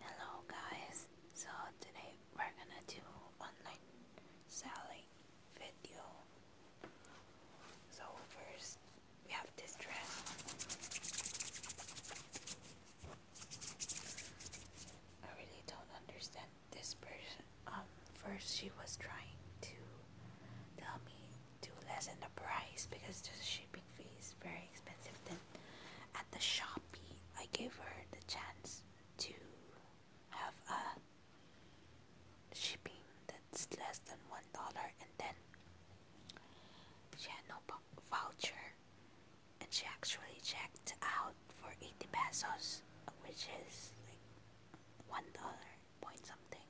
hello guys. So today we're gonna do online selling video. So first we have this dress. I really don't understand this person. Um, first she was trying to tell me to lessen the price because the ship shopping very expensive. Then at the shop, I gave her the chance to have a shipping that's less than one dollar, and then she had no voucher, and she actually checked out for eighty pesos, which is like one dollar point something.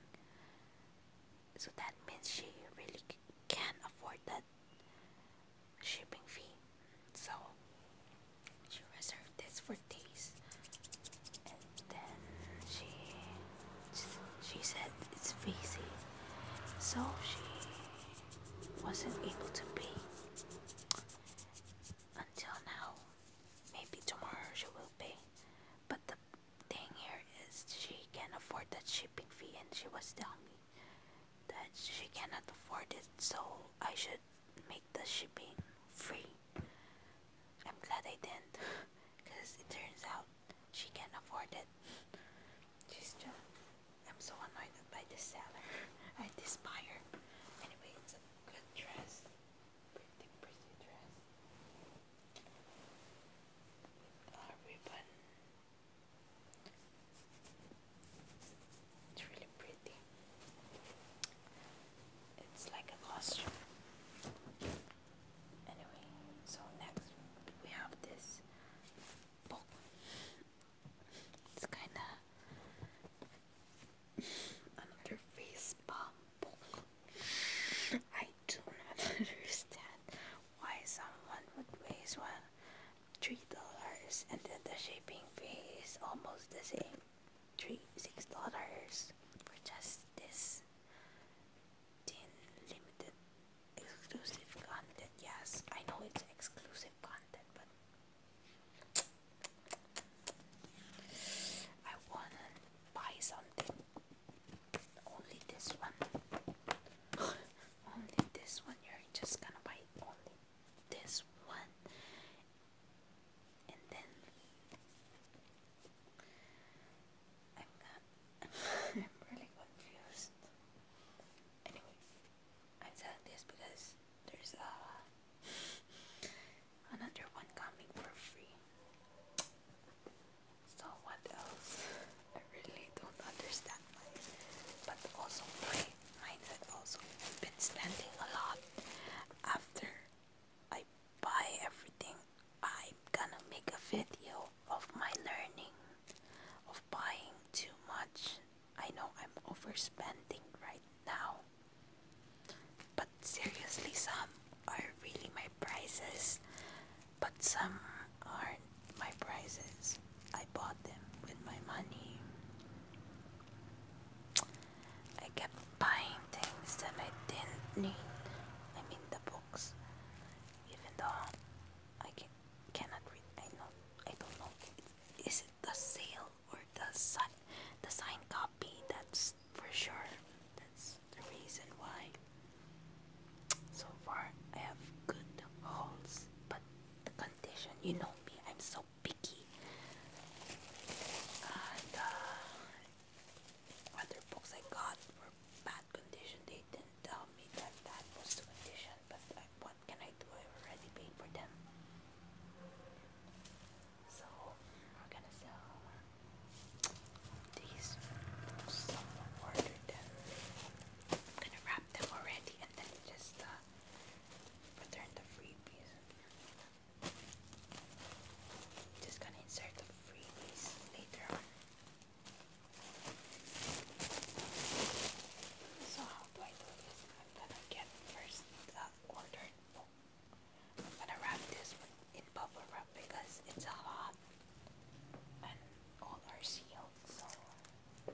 So that means she really can not afford that shipping fee. So she reserved this for days, and then she she said it's busy, so she wasn't able to pay until now. Maybe tomorrow she will pay, but the thing here is she can afford that shipping fee, and she was telling me that she cannot afford it, so I should make the shipping free. I'm glad I didn't, because it turns out she can not afford it. She's just. I'm so annoyed by the seller. I despire. Anyway, it's a good dress. Pretty, pretty dress. With a ribbon it's really pretty. It's like a costume. Anyway, so next we have this book. It's kinda another face palm book. I do not understand why someone would waste one three dollars and then the shipping fee is almost the same three six dollars for just this limited exclusive content yes I know it's exclusive content but I wanna buy something only this one only this one you're just gonna buy only this one and then I'm really confused anyway I'm selling this because there's a uh, another one coming for free so what else I really don't understand why. But also my mindset also I've been spending a lot after I buy everything I'm gonna make a video of my learning of buying too much. I know I'm overspending right now. But seriously some are really my prices but some aren't my prizes. I bought them with my money. I kept buying things that I didn't need. I mean the books. Even though I can, cannot read, I know I don't know. Is it the sale or the sign, the sign copy? That's for sure. That's the reason why. So far, I have good holes, but the condition, you know me, I'm so picky. Uh, other books I got were bad condition. They didn't tell me that that was the condition, but uh, what can I do? I already paid for them. So we're gonna sell these. Someone ordered them. I'm gonna them already and then just uh, return the freebies. Just gonna insert the freebies later on. So how do I do this? I'm gonna get first uh, ordered I'm gonna wrap this in bubble wrap because it's a lot, and all are sealed help you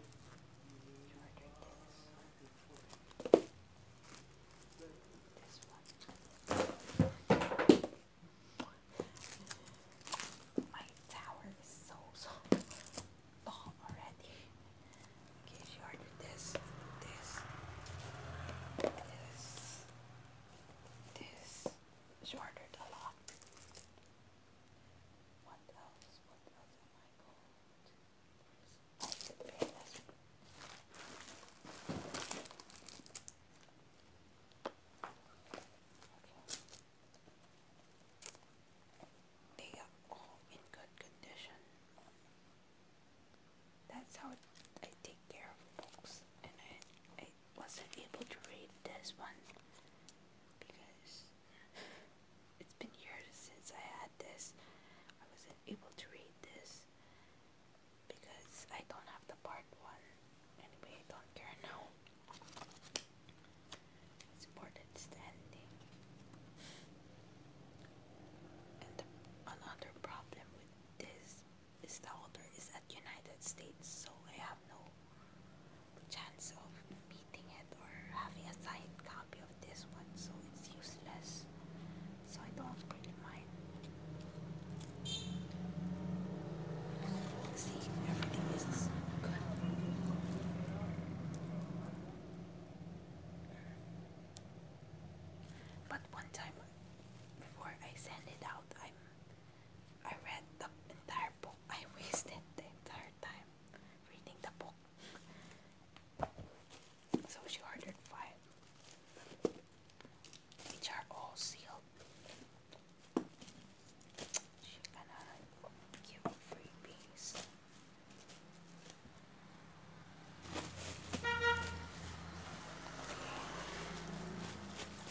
my tower is so tall already okay you ordered this this this this she ordered a lot they are all in good condition. That's how I take care of books, and I, I wasn't able to read this one because it's been years since I had this. I wasn't able to read this because I don't have the part one. Anyway, I don't care now. It's important standing. another problem with this is the order is at United States, so I have no chance of beating it or having a signed copy of this one, so it's useless. So I don't really mind. See, everything is good. But one time before I send it out, i I read the entire book. I wasted the entire time reading the book. So she ordered five, which are all sealed. She's gonna give freebies.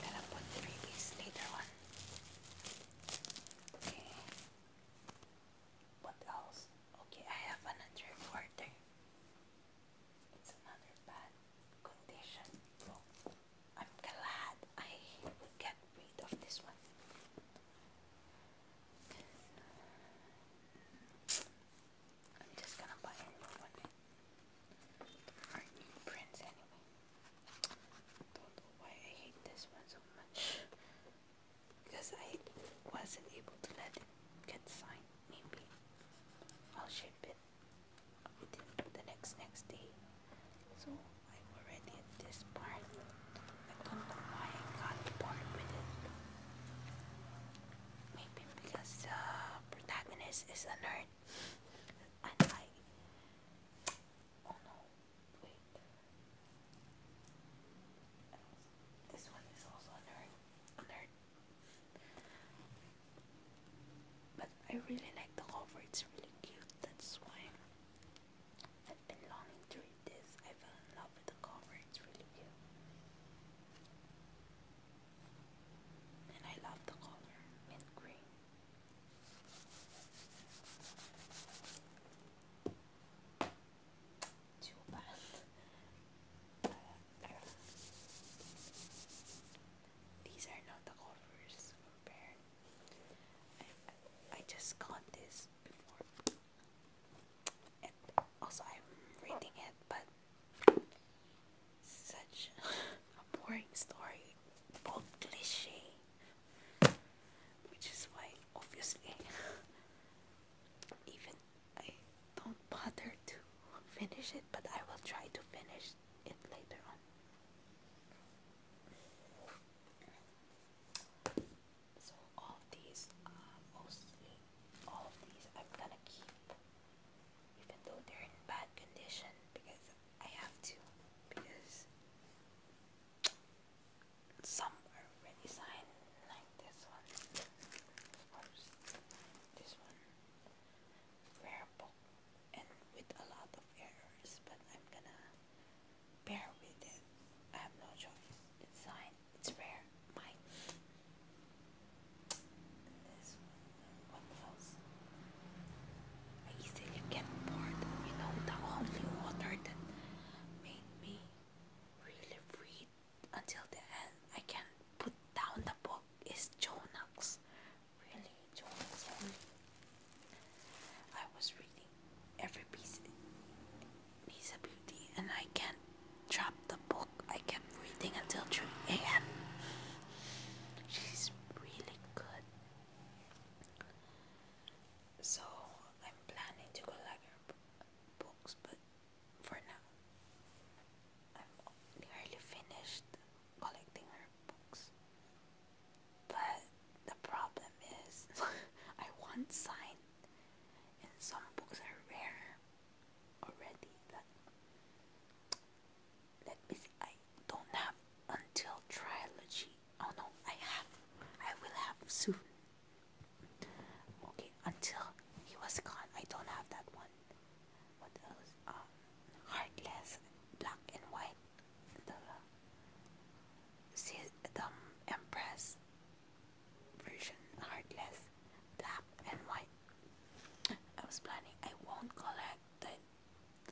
gonna put freebies later on. Okay. What else? Okay, I have another order. It's another bad condition. I'm glad I will get rid of this one. I'm just gonna buy a one. Our new prints anyway. Don't know why I hate this one so much. Because I wasn't able to let it get signed. Maybe I'll ship it the next next day. So i already at this part. I don't know why I got bored with it. Maybe because the uh, protagonist is a nerd. Oh no. This one is also A nerd. But I really like the cover, it's really cute. That's why I've been longing to read this. I fell in love with the cover, it's really cute. And I love the color mint green. Too bad. These are not the covers I, just got this before. also I'm reading it but such a boring story. Both which is why obviously even I don't bother to finish it, but I will try to finish it later on. So all these are uh, mostly all these I'm gonna keep even though they're in bad condition because I have to because some are already signed, like this one, of this one, rare book, and with a lot of errors, but I'm gonna bear with it. I have no choice. signed, it's rare, mine. This one, what else? I easily get bored. You know, the only author that made me really read until the end. I can't put down the book is Jonax. Really, Jonax. I was reading every piece, piece of beauty, and I can't drop the book. I kept reading until 3 a.m. She's really good. So I'm planning to collect her books, but for now, I'm nearly finished collecting her books. But the problem is, I want signed, and some books are rare already. let me see, I don't have until trilogy Oh no, I have. I will have soon. Okay, until he was gone, I don't have that one. What else? Um, heartless, black and white. The the Empress version, heartless, black and white. I was planning. I won't collect the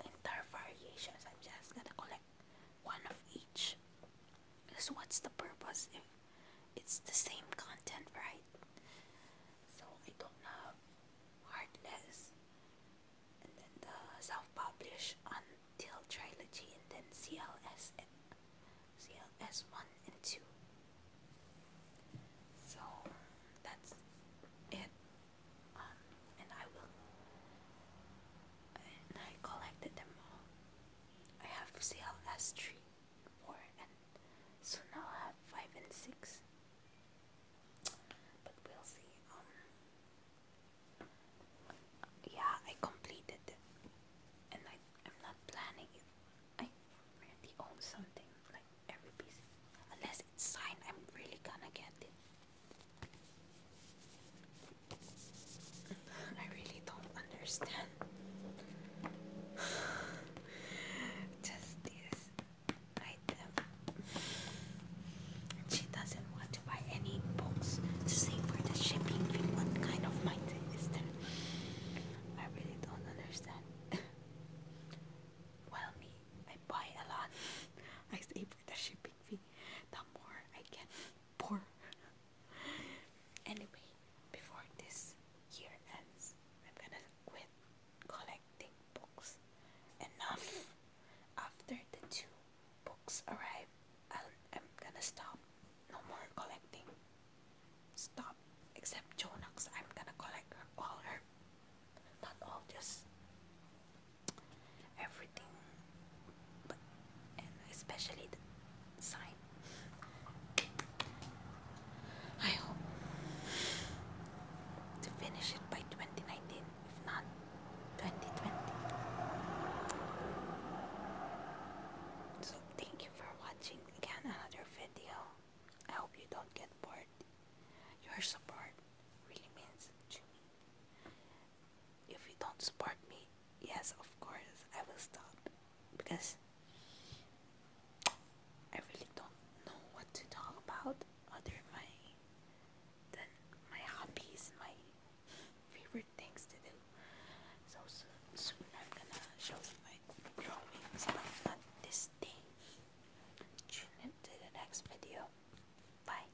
entire variations. I'm just gonna collect like one of each. Because what's the purpose if it's the same content, right? So I don't have Heartless the self-publish until trilogy and then CLS one and two. So that's it and I will. And I collected them all. I have CLS three, four, and soon i have five and six. But we'll see. Um, yeah, I completed it, and I I'm not planning it. I already own something like every piece, unless it's signed. I'm really gonna get it. I really don't understand just this item. She doesn't want to buy any books save for the shipping fee. What kind of mindset is that? I really don't understand. Well, me, I buy a lot. I save for the shipping fee the more I can pour. anyway, before this year ends, I'm gonna quit collecting books. Enough! After the two books arrive, i am gonna stop. No more collecting. Stop. Except Jonax, I'm gonna collect all her. Not all, just everything, but, especially the sign. I hope to finish it by 2019, if not 2020. So, thank you for watching again another video. I hope you don't get bored. Your support really means to me if you don't support me, yes, of course, I will stop because I really don't know what to talk about other my than my hobbies, my favorite things to do. So, so soon I'm gonna show you my drawings, but not this thing. Tune in to the next video. Bye.